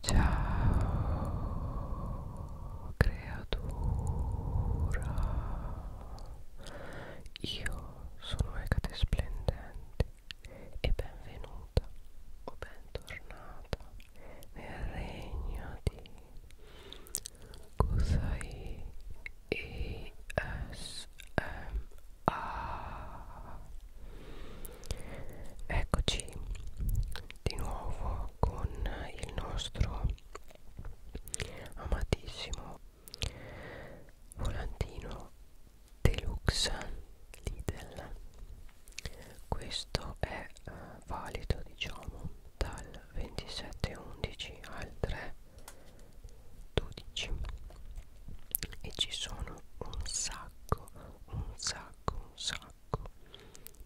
Ciao creatura, io sono Ecate Splendente e benvenuta o bentornata nel regno di Kusai ESMA. Eccoci di nuovo con il nostro amatissimo volantino deluxe Lidl questo è eh, valido diciamo dal 27.11 al 3.12 e ci sono un sacco un sacco un sacco sacco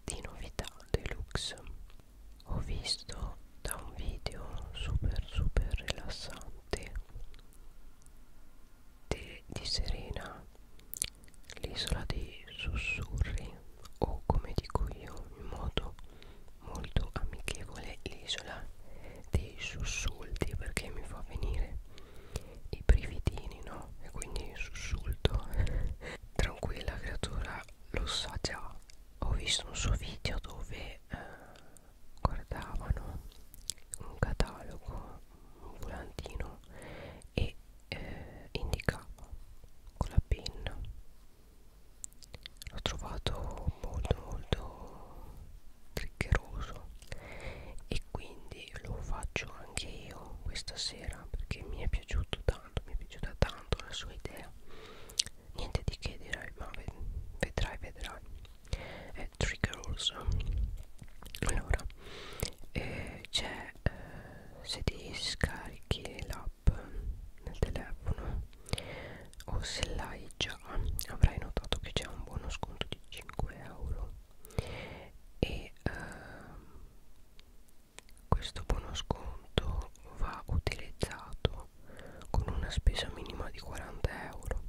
di novità deluxe ho visto da un video super super rilassante di, di Serena l'isola dei sussurri o come dico io in modo molto amichevole l'isola dei sussulti perché mi fa venire i brividini, no? E quindi sussulto. Tranquilla creatura, lo sa già. Ho visto un suo video dove eh, guardavano un catalogo, un volantino e eh, indicava con la penna. L'ho trovato molto molto triccheroso e quindi lo faccio anche io questa sera perché mi è piaciuto tanto mi è piaciuta tanto la sua idea niente di che direi ma vedrai vedrai eh, trigger also allora eh, c'è eh, se ti scarichi l'app nel telefono o se l'hai già avrai notato che c'è un buono sconto di 5 euro e ehm, questo buono sconto va utilizzato con una spesa minima di 40 euro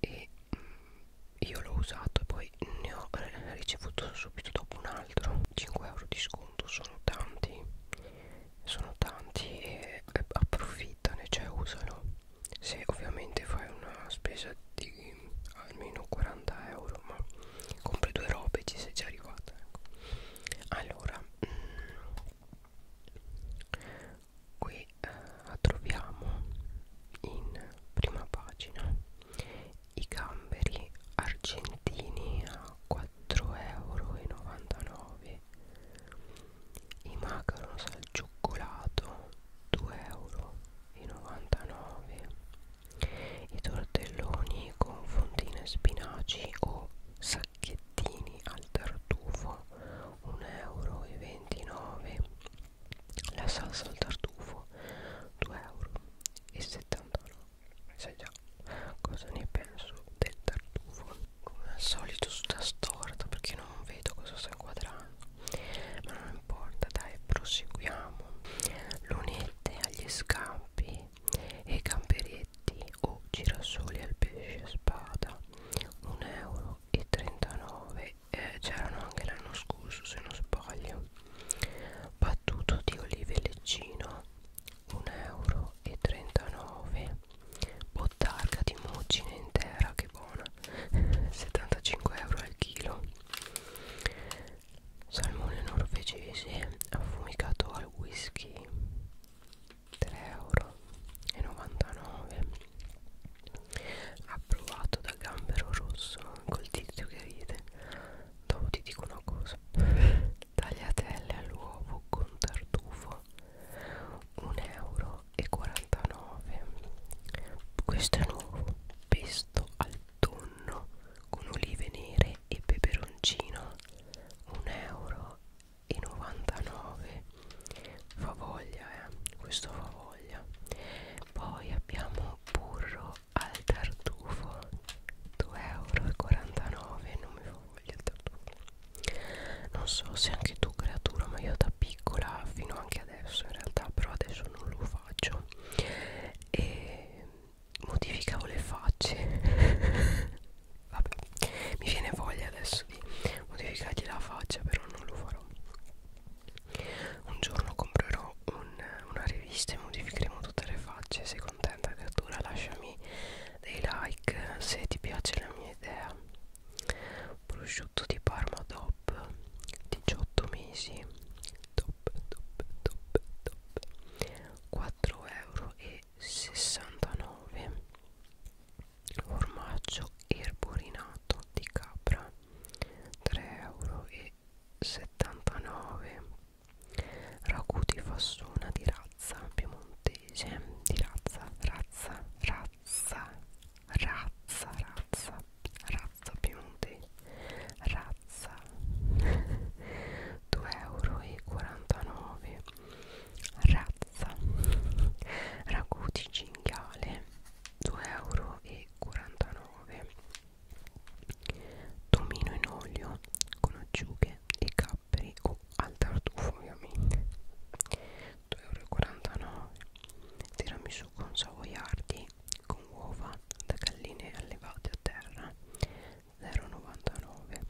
e mh, mm, io l'ho usato e poi ne ho ricevuto subito dopo un altro 5 euro di sconto sono tanti sono tanti e approfittane cioè usano se ovviamente fai una spesa di almeno 40 euro ma compri due robe ci sei già arrivata ecco. allora mm, qui eh, troviamo in prima pagina i gamberi argentini a 4,99 euro i macarons al cioccolato 2,99€ i tortelloni con fondine e spinaci o sacchettini al tartufo 1,29€ la salsa al tartufo 2,79€ sai già cosa ne penso del tartufo come al solito sta storta perché non vedo cosa sto inquadrando ma non importa dai proseguiamo lunette agli scampi e gamberetti o girasoli al pesce spada 1,39 euro eh, c'erano anche l'anno scorso se non sbaglio battuto di olive leccino 1,39 euro bottarga di muggine intera che buona buona 75 euro al chilo salmone norvegese affumicato al whisky 3 euro e 99 approvato da gambero rosso col tizio che ride dopo ti dico una cosa tagliatelle all'uovo con tartufo 1 euro 1,49 questo è nuovo pesto al tonno con olive nere e peperoncino 1,99 euro favoglia eh? questo favoglia poi abbiamo burro al tartufo 2,49 euro non mi favoglia il tartufo non so se anche tu creatura ma io da piccola fino anche adesso in realtà però adesso non lo faccio e modificavo le facce vabbè mi viene voglia adesso di modificargli la faccia però non lo farò un giorno comprerò un, una rivista e modificheremo tutte le facce sei contenta creatura lasciami dei like se ti piace la mia idea prosciutto di Parma DOP 18 mesi DOP DOP DOP DOP 4 euro e 69 formaggio erborinato di capra 3 euro e 79 ragù di fassona di razza piemontese di razza razza razza razza, razza, razza, razza Piemonte, razza 2,49 euro, razza, ragù cinghiale 2,49 euro, tomino in olio con acciughe e capperi o al tartufo ovviamente 2,49 euro tirami riso con savoiardi con uova da galline allevate a terra 0,99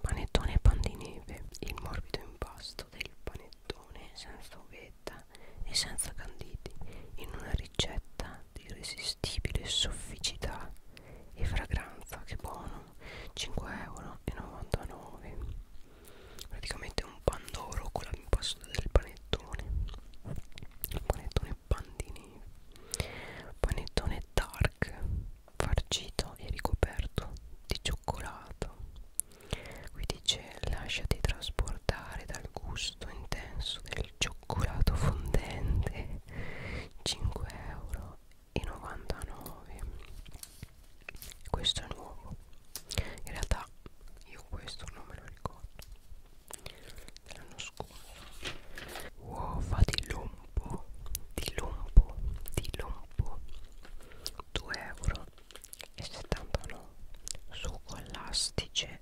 panettone pan di neve il morbido impasto del panettone senza uvetta e senza canditi in una ricetta di irresistibile sofficità e fragranza che buono 5,99 euro praticamente un pandoro con l'impasto del panettone panettone pandini panettone dark farcito e ricoperto di cioccolato qui dice lasciati trasportare dal gusto intenso del cioccolato fondente 5 euro e 99 questo è nuovo in realtà io questo non me lo ricordo dell'anno scorso uova di lombo di lombo di lombo 2 euro e 79 succo elastice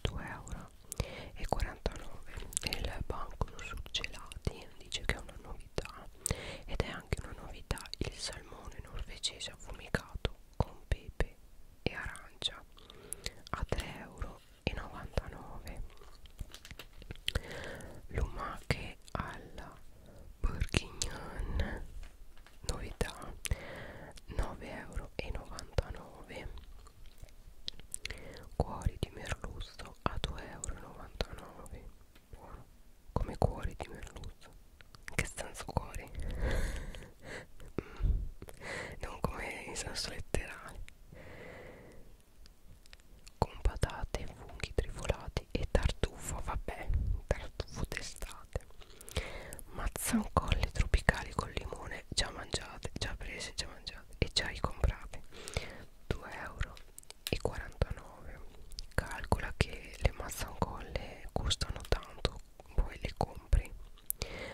2 euro e 49 il banco surgelati dice che è una novità ed è anche una novità il salmone norvegese affumicato con pepe e arancia a 3,99 euro lumache alla bourguignon novità 9,99 euro cuori di merluzzo a 2,99 euro buono come cuori di merluzzo che senso cuori mm. non come in senso letterale con patate funghi trifolati e tartufo vabbè tartufo d'estate mazzancolle tropicali con limone già mangiate già prese già mangiate e già ricomprate 2,49 euro calcola che le mazzancolle costano tanto poi le compri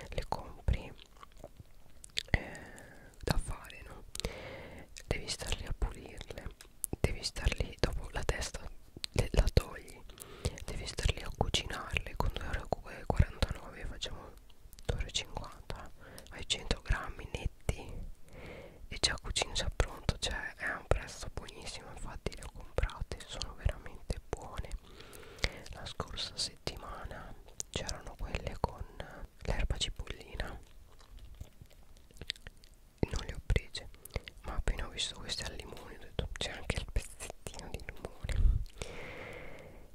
le compri eh, da fare no? devi star lì a pulirle devi star lì dopo la testa la togli devi star lì a cucinarle con 2,49€ eh, facciamo 2,50€ ai 100 grammi netti e già cucina già pronto cioè è un prezzo buonissimo buonissime infatti le ho comprate sono veramente buone la scorsa settimana c'erano quelle con l'erba cipollina non le ho prese ma appena ho visto queste al limone ho detto c'è anche il pezzettino di limone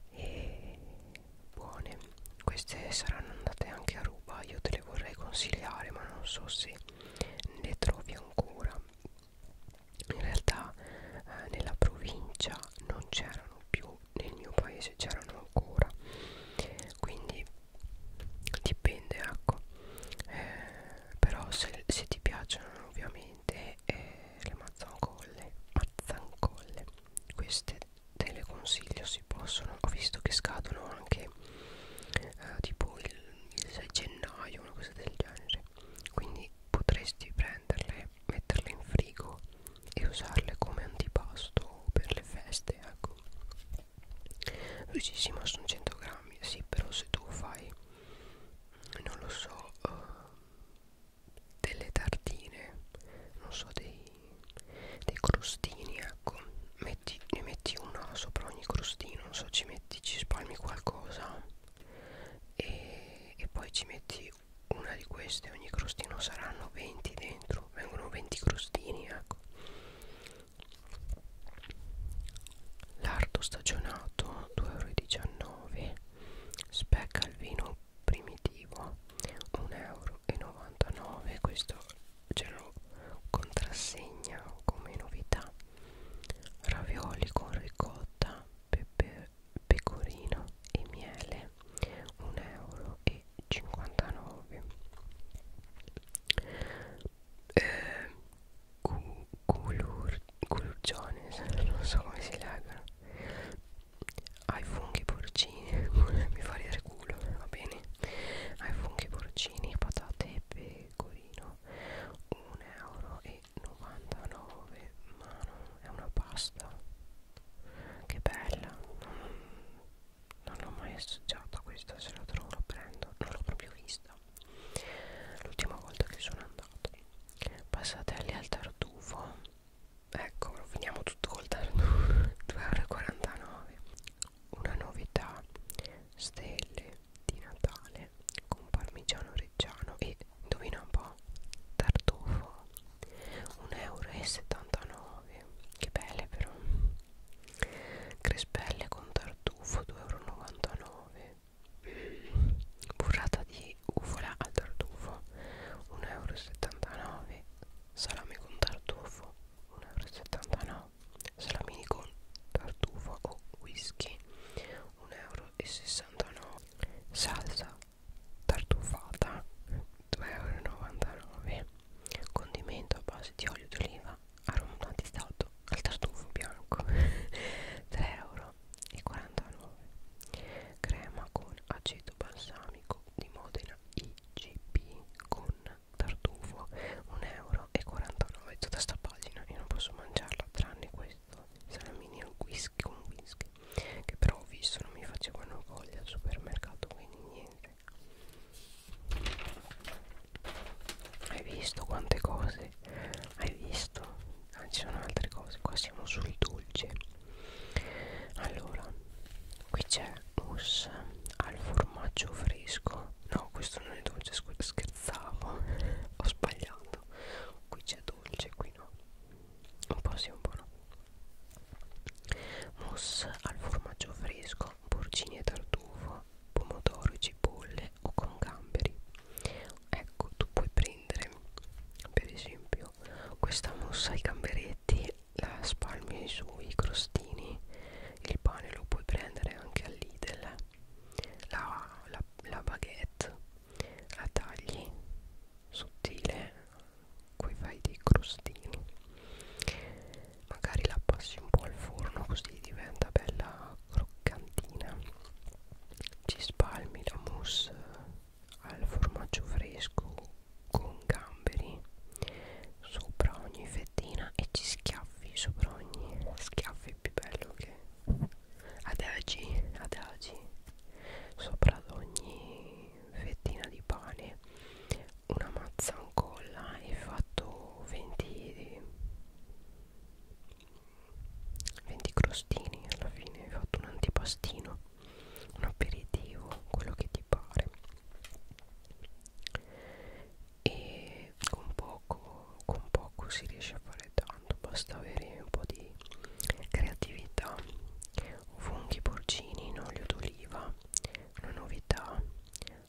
e buone queste saranno andate anche a ruba io te le vorrei consigliare ma non so se ne trovi ancora in realtà eh, nella provincia non c'erano più nel mio paese c'erano ancora quindi dipende ecco eh, però se, se ti piacciono ovviamente eh, le mazzancolle mazzancolle queste te le consiglio si possono ho visto che scadono anche eh, tipo il il 6 gennaio una cosa del genere quindi potresti prenderle metterle in frigo e usarle come antipasto per le feste ecco lui dice sì ma sono 100 grammi sì però se tu fai non lo so uh, delle tartine non so dei, dei crostini ecco metti, ne metti una sopra ogni crostino non so ci metti ci spalmi qualcosa e, e poi ci metti una di queste ogni crostino saranno 20 dentro vengono 20 crostini ecco lardo stagionato 2,19 euro specca al vino primitivo 1,99 euro questo ce lo contrassegna come novità ravioli con ricotta, pepe, pecorino e miele 1,59 euro e 59. Eh, culur, culurgiones, non so come si legano ai funghi porcini mi fa ridere culo va bene ai funghi porcini patate e pecorino euro 1,99 euro ma non è una pasta che bella non l'ho mai assaggiata questa se la trovo la prendo non l'ho proprio vista l'ultima volta che sono andato passatelli al tartufo ecco finiamo tutto col tartufo 2,49 euro una novità stelle di Natale con parmigiano reggiano e indovina un po' tartufo 1,79 euro che belle però crespelle con tartufo 2,99 euro burrata di ufola al tartufo 1,79 euro salame con tartufo 1,79 euro salamini con tartufa o whisky 1,69 euro salsa tartufata 2,99 euro condimento a base di olio d'oliva aromatizzato al tartufo bianco 3,49 euro crema con aceto balsamico di Modena IGP con tartufo 1,49€ tutta sta pagina io non posso mangiarla tranne questo salamini al whisky con whisky che però ho visto non mi facevano voglia al supermercato quindi niente hai visto quante cose hai visto ah, ci sono altre cose qua siamo sul dolce allora qui c'è mousse al formaggio fresco no questo non è dolce scherzavo ho sbagliato qui c'è dolce qui no un po' sì un po' no mousse al formaggio fresco porcini e tartufo pomodoro e cipolle o con gamberi ecco tu puoi prendere per esempio questa mousse ai gamberetti la spalmi sui crostini il pane lo puoi prendere anche all'Idel la, la, la baguette la tagli sottile poi fai dei crostini magari la passi un po' al forno così diventa bella croccantina ci spalmi la mousse al formaggio fresco con gamberi sopra ogni fettina motovedettina e ci schiaffi sopra ogni schiaffo è più bello che adagi, adagi sopra ad ogni fettina di pane una mazzancolla e fatto 20 20 crostini alla fine hai fatto un antipastino un aperitivo quello che ti pare e con poco, con poco si riesce a fare tanto basta avere un po' di creatività funghi porcini in olio d'oliva una novità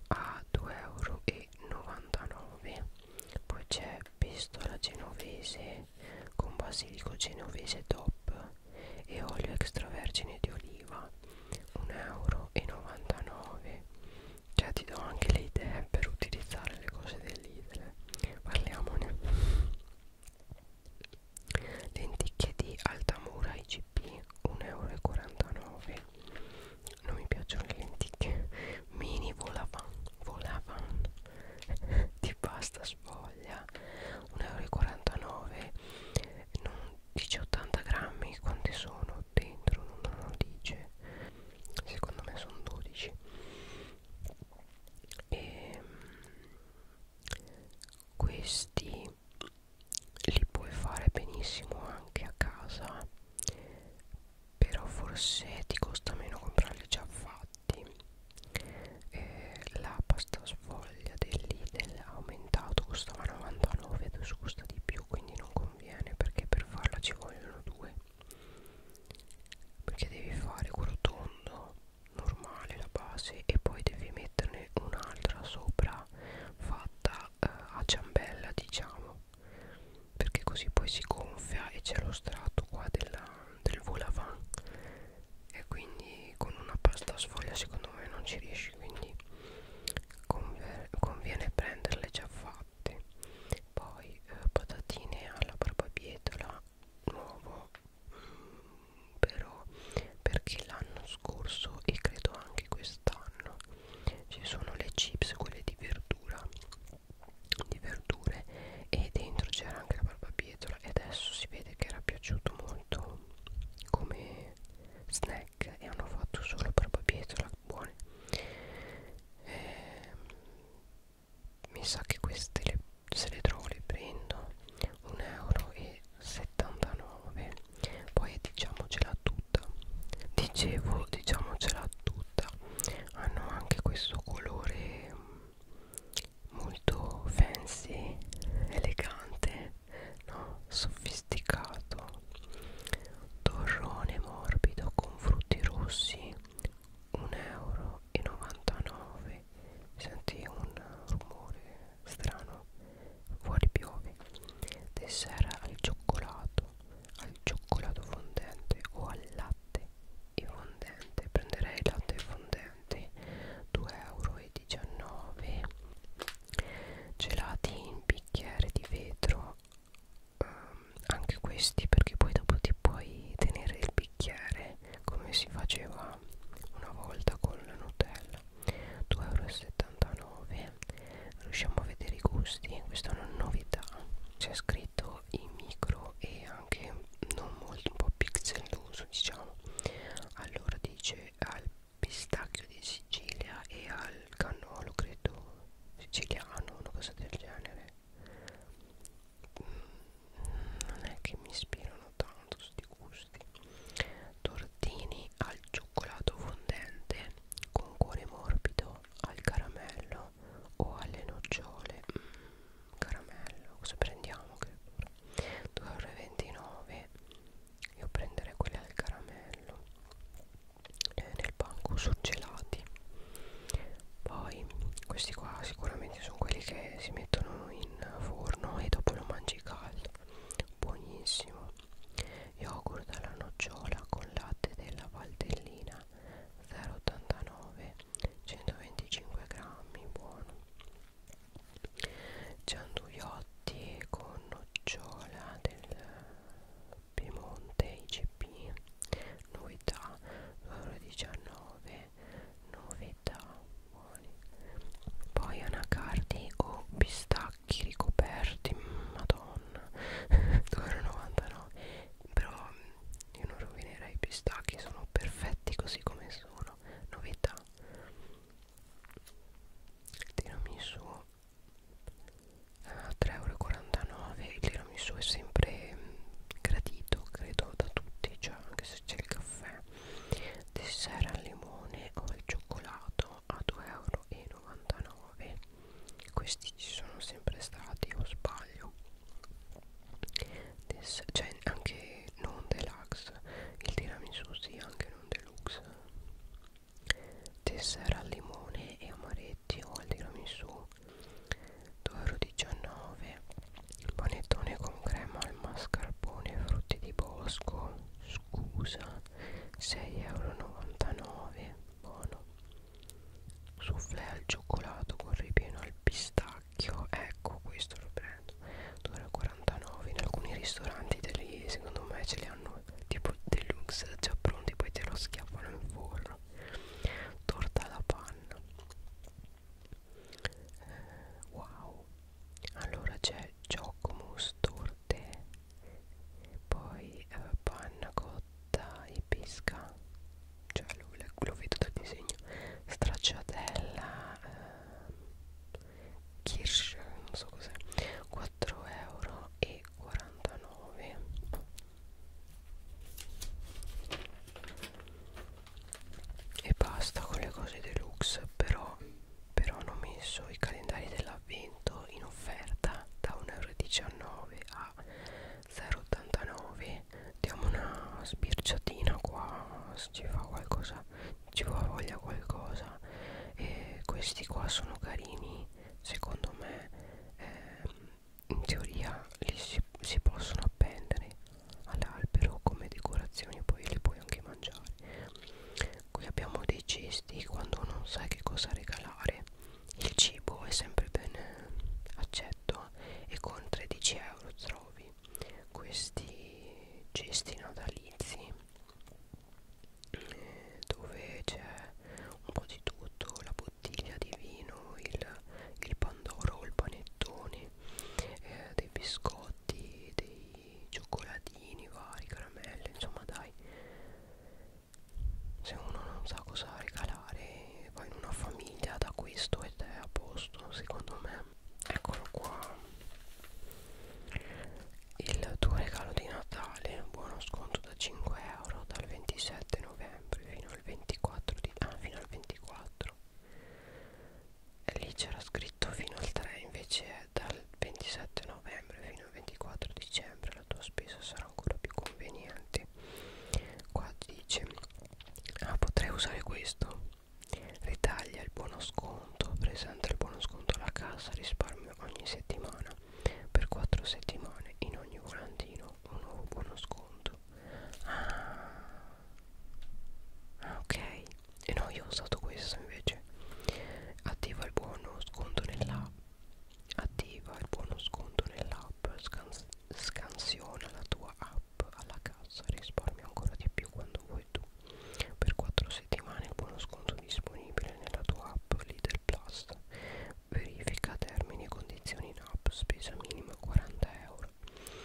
a 2,99 euro poi c'è pistola genovese con basilico genovese top e olio extravergine di oliva 1,99 euro cioè ti do anche le idee per utilizzare le cose dell'idre parliamone lenticchie di altamura IGP 1,49€ non mi piacciono le lenticchie mini volavan volavan di pasta sfoglia 1,49€ non dice 80 grammi quanti sono dentro non hanno radice secondo me sono 12 e ehm, questi li puoi fare benissimo anche a casa però forse ti costa meno comprarli già fatti eh, la pasta sfoglia dell'Idel aumentato costava 99 adesso costa di più quindi non, conviene perché per farla ci vogliono due perché devi fare quello tondo normale la base e poi devi metterne un'altra sopra fatta eh, a ciambella diciamo perché così poi si gonfia e c'è lo strato qua della, del volavant e quindi con una pasta sfoglia secondo me non ci riesce veloci quindi conviene prenderle già fatte poi eh, patatine alla barbabietola nuovo mm, però perché l'anno scorso e credo anche quest'anno ci sono le chips quelle di verdura di verdure e dentro c'era anche la barbabietola e adesso si vede che era piaciuto molto come snack snack e hanno fatto solo per barbabietola buone eh, mi sa che queste le, se le trovo le prendo 1,79€ poi diciamocela tutta dicevo diciamocela tutta hanno anche questo colore mm, molto fancy elegante no? sofisticato torrone morbido con frutti rossi 1,99 euro senti un rumore strano fuori piove dessert al cioccolato al cioccolato fondente o al latte e fondente prenderei latte fondente 2,19 euro gelati in bicchiere bicchiere di vetro um, anche questi perché poi dopo ti puoi tenere il bicchiere come si faceva una volta con la Nutella 2,79 euro riusciamo a vedere i gusti questa è una novità c'è scritto in micro e anche non molto un po' pixeloso diciamo allora dice al pistacchio di Sicilia e al cannolo credo siciliano una cosa del genere mm, non è che mi ispirano tanto sti gusti tortini al cioccolato fondente con cuore morbido al caramello o alle nocciole mm, caramello cosa prendiamo che 2,29 io prenderei quelle al caramello eh, nel banco surgelati poi questi qua sicuramente sono quelli che si mettono in forno e dopo lo mangi caldo buonissimo yogurt alla nocciola con latte della valtellina 0,89 125 grammi buono gianduiola prodotti con nocciola del Piemonte IGP novità 2,19 novità buoni poi anacardi o pistacchi ricoperti madonna 2,99 però io non rovinerei i pistacchi sono perfetti così come sono novità tirami su a 3,49€ il tiramisù è sempre mm, gradito credo da tutti cioè anche se c'è il caffè dessert al limone o al cioccolato a 2,99€ questi ci sono sempre stati o sbaglio Des cioè anche non deluxe il tiramisù sì anche non deluxe tessera al limone e amaretti o al tiramisù 2,19€ panettone con crema al mascarpone e frutti di bosco scusa 6,99€ buono soufflé al cioccolato con ripieno al pistacchio ecco questo lo prendo 2,49€ 49 in alcuni ristoranti degli, secondo me ce li hanno tipo deluxe già pronti poi te lo schiaffano in forno torta alla panna eh, wow allora c'è Giacomo's torte poi eh, panna cotta e pesca cioè lo, lo vedo dal disegno stracciatella eh, Kirsch non so cos'è 4 euro e 49 e basta con le cose deluxe però però hanno messo i calendari dell'avvento in offerta da 1,19€ a 0,89 diamo una sbirciatina qua se ci fa qualcosa ci va voglia qualcosa e questi qua sono carini secondo me ehm, in teoria li si, si possono appendere all'albero come decorazioni poi li puoi anche mangiare qui abbiamo dei cesti quando non sai che cosa regalare il cibo è sempre ben eh, accetto e con 13 euro trovi questi cesti natalizi eh, dove c'è un po' di tutto, la bottiglia di vino, il, il pandoro, il panettone, eh, dei biscotti, dei cioccolatini vari, caramelle, insomma dai se uno non sa cosa regalare va in una famiglia da questo ed è a posto secondo me eccolo qua il tuo regalo di Natale buono sconto da 5 euro dal 27 novembre fino al 24 di ah, fino al 24 e lì c'era scritto fino al 3 invece è dal 27 novembre fino al 24 dicembre la tua spesa sarà ancora più conveniente qua dice ah potrei usare questo ritaglia il buono sconto sconto presenta il buono sconto alla cassa risparmio ogni settimana per 4 settimane in ogni volantino un nuovo buono sconto ah, ah ok e eh, no io ho usato questo invece attiva il buono sconto nell'app attiva il buono sconto nell'app scan scansiona la tua app alla cassa risparmia ancora di più quando vuoi fai tu per 4 settimane il buono sconto disponibile nella tua app Lidl Plus verifica termini e condizioni in app spesa minima 40 euro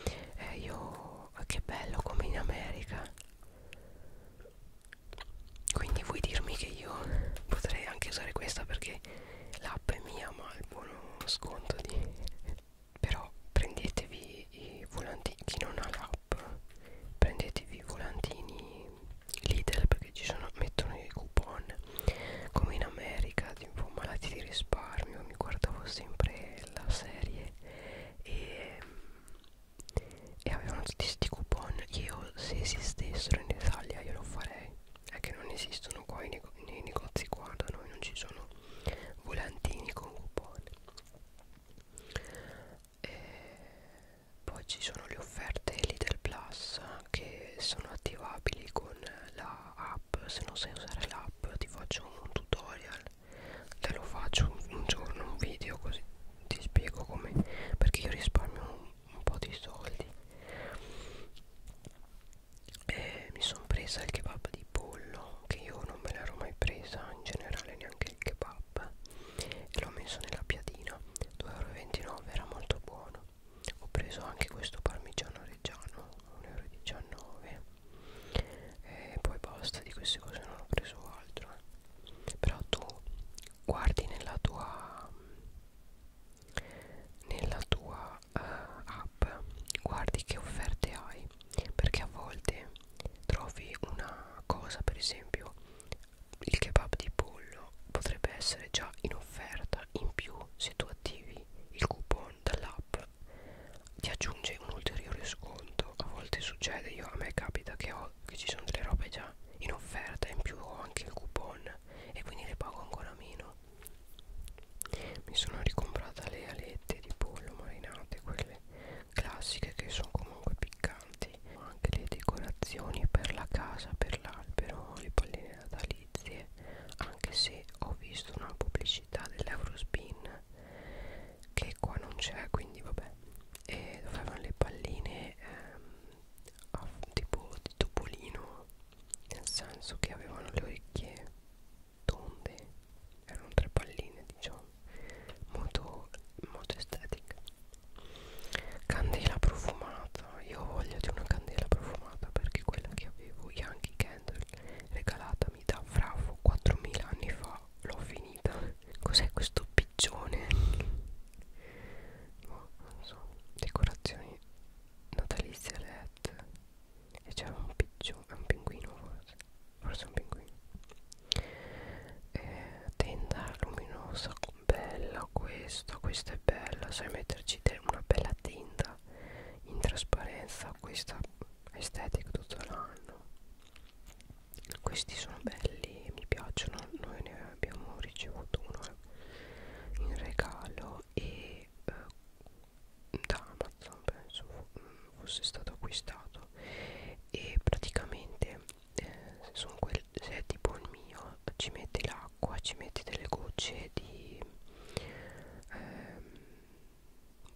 e eh, io che bello come in America quindi vuoi dirmi che io potrei anche usare questa perché l'app è mia ma il buono sconto di però prendetevi i volanti chi non ha l'app shop prendetevi i volantini Lidl perché ci sono, mettono i coupon come in America tipo malati di risparmio mi guardavo sempre la serie e, e avevano tutti questi coupon io se esistessero in Italia io lo farei è che non esistono qua i nego nei negozi qua da noi non ci sono volantini con coupon e poi ci sono le offerte Lidl Plus che sono attivabili con la app. Se non sai usare l'app, ti faccio un tutorial. Te lo faccio un, un giorno, un video così ti spiego come perché io risparmio un, un po' di soldi. E mi sono presa il kebab di pollo che io non me l'ero mai presa in generale neanche il kebab app e l'ho messo nella piadina 2,29€ era molto buono ho preso anche questo parmigiano reggiano 1,19€ e poi basta di queste cose non ho preso altro eh. però tu guardi nella tua nella tua uh, app guardi che offerte hai perché a volte trovi una cosa per esempio il kebab di pollo potrebbe essere già in offerta in più se tu attivi il coupon dall'app ti aggiunge un ulteriore sconto a volte succede io a me capita che, ho, che ci sono delle robe già in offerta in più ho anche il coupon e quindi le pago ancora meno mi sono ricomprata le alette di pollo marinate quelle classiche che sono comunque piccanti importanti anche le decorazioni per la casa per l'albero le palline natalizie anche se ho visto una pubblicità dell'Eurospin che qua non c'è quindi vabbè e dovevano le palline ehm, tipo di topolino nel senso che avevano le orecchie tonde erano tre palline diciamo molto, molto estetica candela profumata io ho voglia di una candela profumata perché quella che avevo Yankee Candle regalatami da Fravo 4000 anni fa l'ho finita cos'è questo piccione? no, boh, non so decorazioni natalizie led e c'è un piccione, un pinguino forse forse un pinguino eh, tenda luminosa bella questa questa è bella sai metterci una bella tinta in trasparenza questa estetica tutto l'anno questi sono belli mi piacciono noi ne abbiamo ricevuto uno in regalo e eh, da Amazon penso mm, fosse stato acquistato e praticamente eh, sono quel, se è tipo il mio ci metti l'acqua ci metti delle gocce di ehm,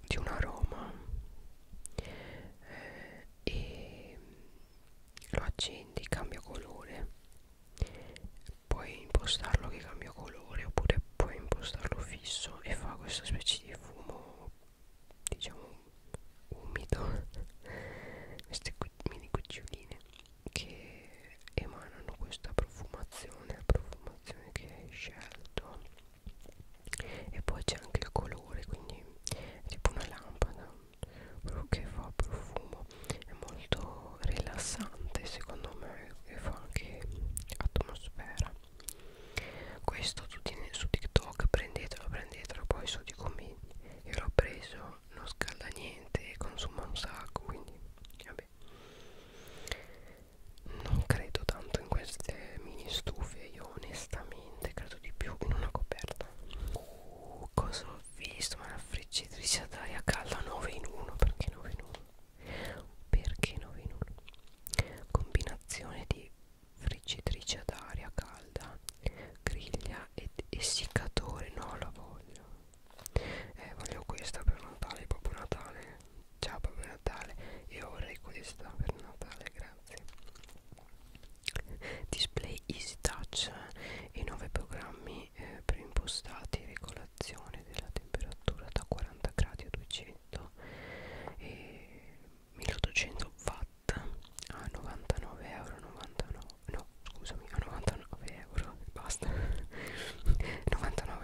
di un aroma eh, e lo accendi cambia colore puoi impostarlo che cambia colore oppure puoi impostarlo fisso e fa questa specie di fumo diciamo umido queste mini cuccioline che emanano questa profumazione la profumazione che hai scelto e poi c'è anche il colore quindi è tipo una lampada che fa profumo è molto rilassante secondo me e fa anche atmosfera questo tutti su tiktok prendetelo prendetelo poi so di come io l'ho preso non scalda niente consuma un sacco quindi vabbè non credo tanto in queste mini stufe io onestamente credo di più in una coperta uh, cosa ho visto ma la friggitrice ad aria calda 9 in 1 perché 9 in 1 perché 9 in 1 combinazione di friggitrice ad aria calda griglia ed essiccatore no la voglio eh voglio questa per Natale Babbo Natale ciao Babbo Natale io vorrei questa per Natale grazie display easy touch e eh, 9 programmi eh, preimpostati regolazione della temperatura da 40 gradi a 200 e 1800 watt a 99 euro 99 no scusami a 99 euro basta 99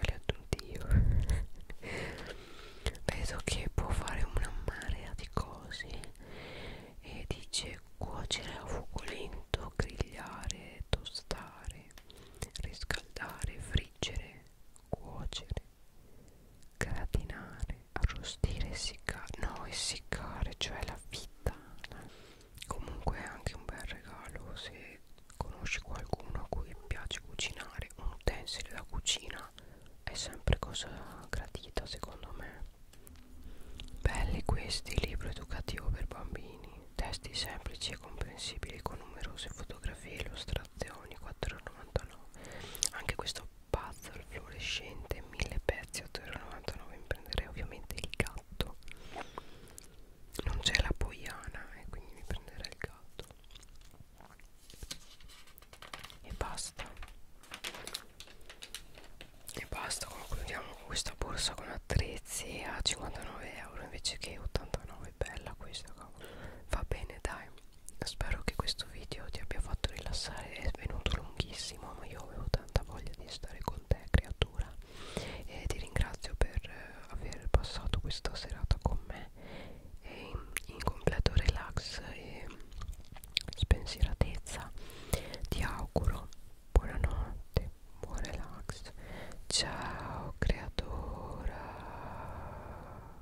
li ho aggiunti io vedo che può fare una marea di cose e dice cuocere a fuoco lento grigliare tostare riscaldare friggere cuocere gratinare arrostire, essiccare, no essiccare, cioè la fitta comunque è anche un bel regalo se conosci qualcuno a cui piace cucinare un utensile da cucina è sempre cosa gradita secondo me belli questi libro educativo per bambini testi semplici e comprensibili con numerose fotografie illustrate colorazioni 4,99 anche questo puzzle fluorescente 1000 pezzi 8,99 mi prenderei ovviamente il gatto non c'è la poiana e eh, quindi mi prenderei il gatto e basta e basta concludiamo con questa borsa con attrezzi a 59 euro invece che 89 bella questa cavolo. va bene dai spero che questo video ti abbia fatto rilassare è venuto lunghissimo ma io avevo tanta voglia di stare con te creatura e ti ringrazio per eh, aver passato questa serata con me e in completo relax e spensieratezza ti auguro buonanotte buon relax ciao creatura